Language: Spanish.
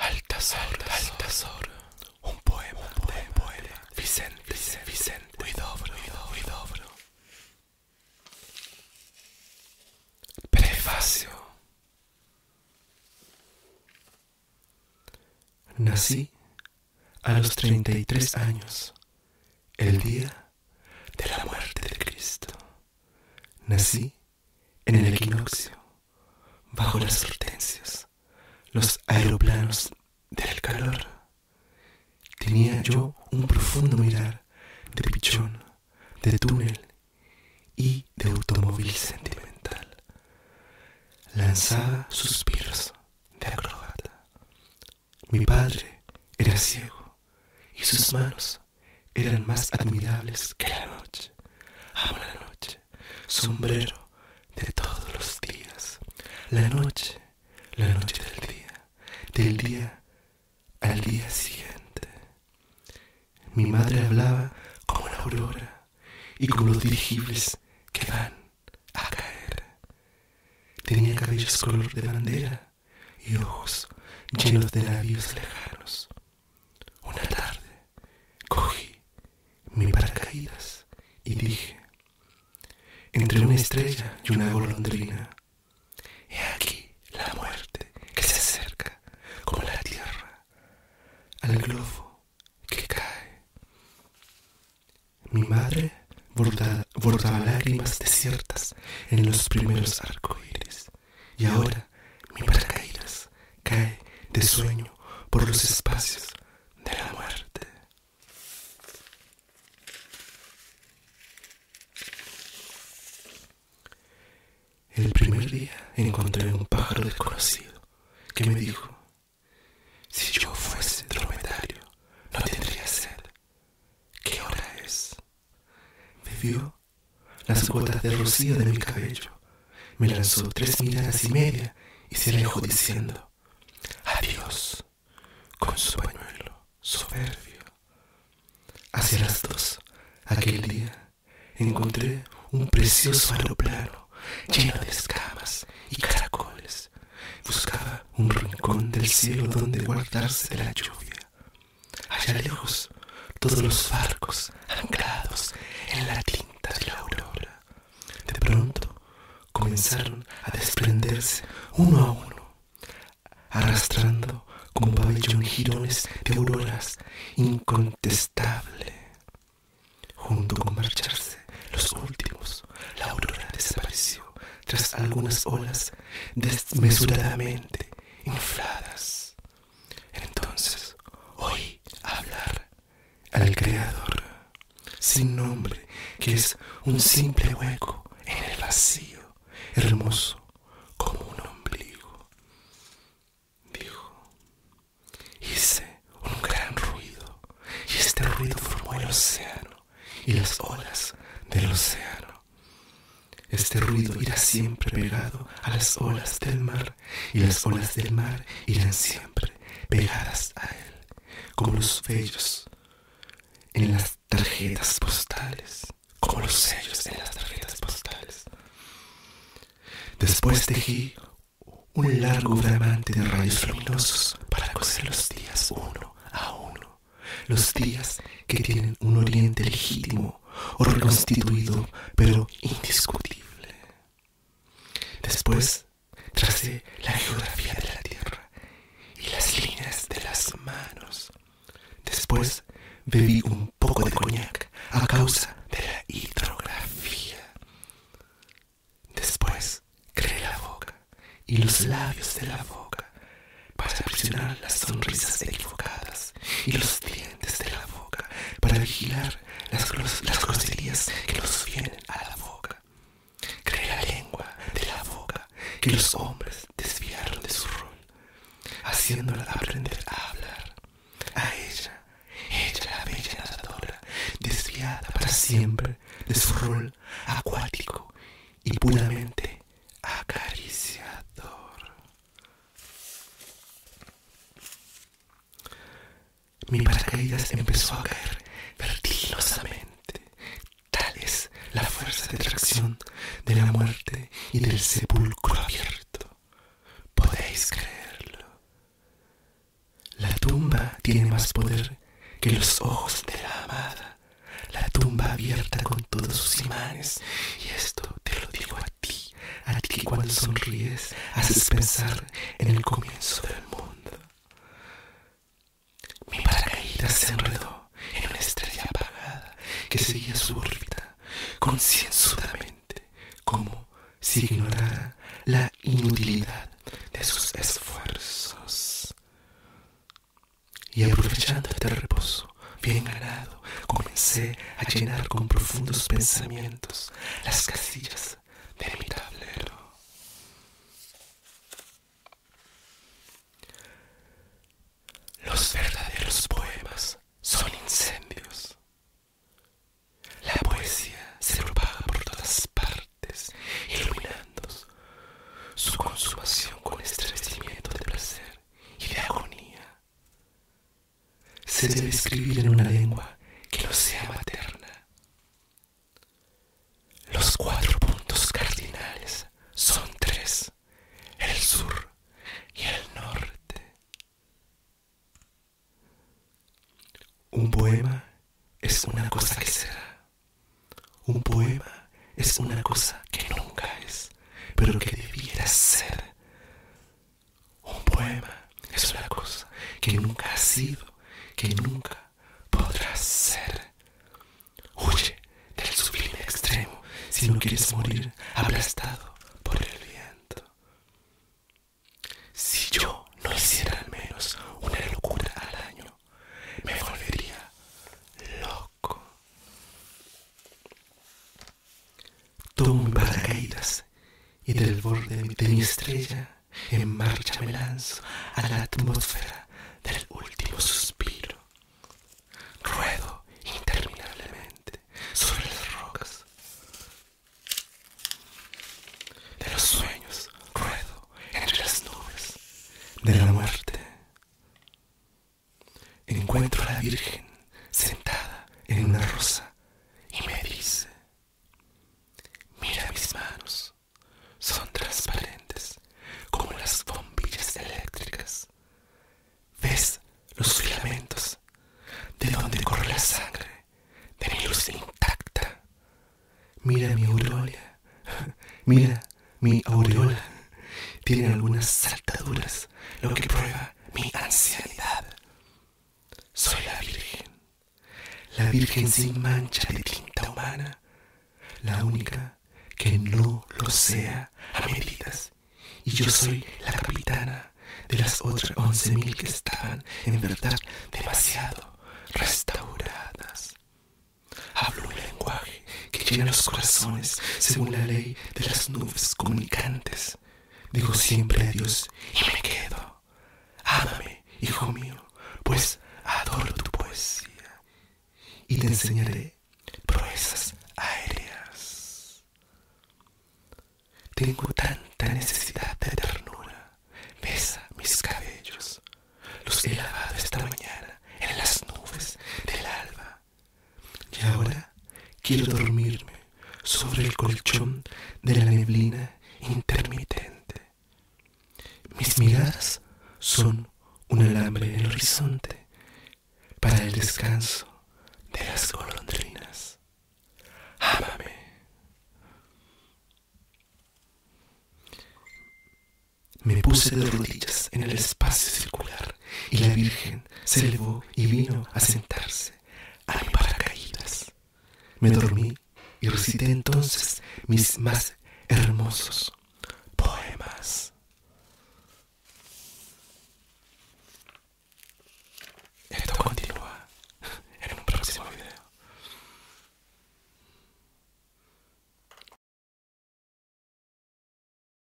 Alta Altasor, un poema, un poema de poema. Vicente poema Prefacio. Nací a los 33 años, el día de la muerte de Cristo. Nací en el equinoccio, bajo las hortensias, los aeroplanos del calor. Tenía yo un profundo mirar de pichón, de túnel y de automóvil sentimental. Lanzaba suspiros de acrobata. Mi padre era ciego y sus manos eran más admirables que la noche. Amo la noche, sombrero de todos los días. La noche, la noche del día, del día al día siguiente. Mi madre hablaba como una aurora y como los dirigibles que van a caer. Tenía cabellos color de bandera y ojos llenos de labios lejanos. Una tarde cogí mi paracaídas y dije, entre una estrella y una golondrina, he aquí la muerte que se acerca como la tierra al globo que cae. Mi madre bordaba lágrimas desiertas en los primeros arcoíris y ahora mi paracaídas cae de sueño por los espacios de la muerte. El primer día encontré un pájaro desconocido que me dijo, si yo fuese dromedario, no tendría sed. ¿Qué hora es? vio las gotas de rocío de mi cabello, me lanzó tres miradas y media y se alejó diciendo, adiós, con su pañuelo soberbio. Hacia las dos, aquel día, encontré un precioso aeroplano lleno de escamas y caracoles. Buscaba un rincón del cielo donde guardarse de la lluvia. Allá lejos, todos los barcos anclados en la tinta de la aurora. De pronto comenzaron a desprenderse uno a uno arrastrando como pabellón jirones de auroras incontestable. Junto con marcharse los últimos, la aurora desapareció tras algunas olas desmesuradamente infladas. Entonces oí hablar al Creador, sin nombre, que es un simple hueco en el vacío, hermoso como un ombligo. Dijo, hice un gran ruido, y este ruido formó el océano y las olas del océano. Este ruido irá siempre pegado a las olas del mar, y las olas del mar irán siempre pegadas a él, como los vellos en las tarjetas postales, como los sellos en las tarjetas postales. Después tejí un largo bramante de rayos luminosos para coser los días uno a uno, los días que tienen un oriente legítimo o reconstituido, pero indiscutible. Después tracé la geografía de la Tierra y las líneas de las manos. Después bebí un poco de coñac a causa de la hidrografía. Después creé la boca y los labios de la boca para presionar las sonrisas equivocadas y los dientes de la boca para vigilar las, las groserías que los vienen a la boca que la lengua, de la boca, que los hombres desviaron de su rol, haciéndola aprender a hablar. A ella, ella la bella nadadora, desviada para siempre de su rol acuático y puramente acariciador. Mi paracaídas empezó a caer vertiginosamente Tal es la fuerza de atracción de la muerte y del sepulcro abierto. Podéis creerlo. La tumba tiene más poder que los ojos de la amada. La tumba abierta con todos sus imanes. Y esto te lo digo a ti, a ti que cuando sonríes haces pensar en el comienzo del mundo. Mi paracaídas se enredó en una estrella apagada que seguía su órbita concienzudamente, como si ignorara la inutilidad de sus esfuerzos. Y aprovechando este reposo bien ganado, comencé a llenar con profundos pensamientos las casillas de mi tablero. Los verdaderos poemas son incendios. La poesía se propaga por todas partes, iluminando su consumación con estremecimiento de placer y de agonía. Se debe escribir en una lengua que no sea materna, los cuatro puntos cardinales son tres, el sur y el norte. Un poema es una cosa que será. Un poema es una cosa que nunca es, pero que debiera ser. Un poema es una cosa que nunca ha sido, que nunca podrá ser. Huye del sublime extremo si no quieres morir aplastado por el viento. Si yo no hiciera al menos una locura al año, me volvería loco. Tomo y del borde de mi estrella en marcha me lanzo a la atmósfera del último suspiro. Ruedo interminablemente sobre las rocas. De los sueños ruedo entre las nubes. De la muerte encuentro a la Virgen sentada en una rosa y me dice... Mira mis manos, son transparentes como las bombillas eléctricas. ¿Ves los filamentos de donde corre la sangre de mi luz intacta? Mira mi aureola, mira mi aureola. Tiene algunas saltaduras, lo que prueba mi ansiedad soy la Virgen, la Virgen sin mancha de tinta humana, la única que no lo sea a medidas. Y yo soy la capitana de las otras once mil que estaban, en verdad, demasiado restauradas. Hablo un lenguaje que llena los corazones según la ley de las nubes comunicantes. Digo siempre adiós y me quedo. Ámame, hijo mío, pues adoro tu poesía y te enseñaré proezas aéreas. Tengo tanta necesidad de ternura. Besa mis cabellos. Los he lavado esta mañana en las nubes del alba y ahora quiero dormirme sobre el colchón de la neblina intermitente. Mis miradas son un alambre en el horizonte para el descanso de las golondrinas. Ámame. Me puse de rodillas en el espacio circular y la Virgen se elevó y vino a sentarse a mi paracaídas. Me dormí y recité entonces mis más hermosos poemas. Esto continúa en un próximo video.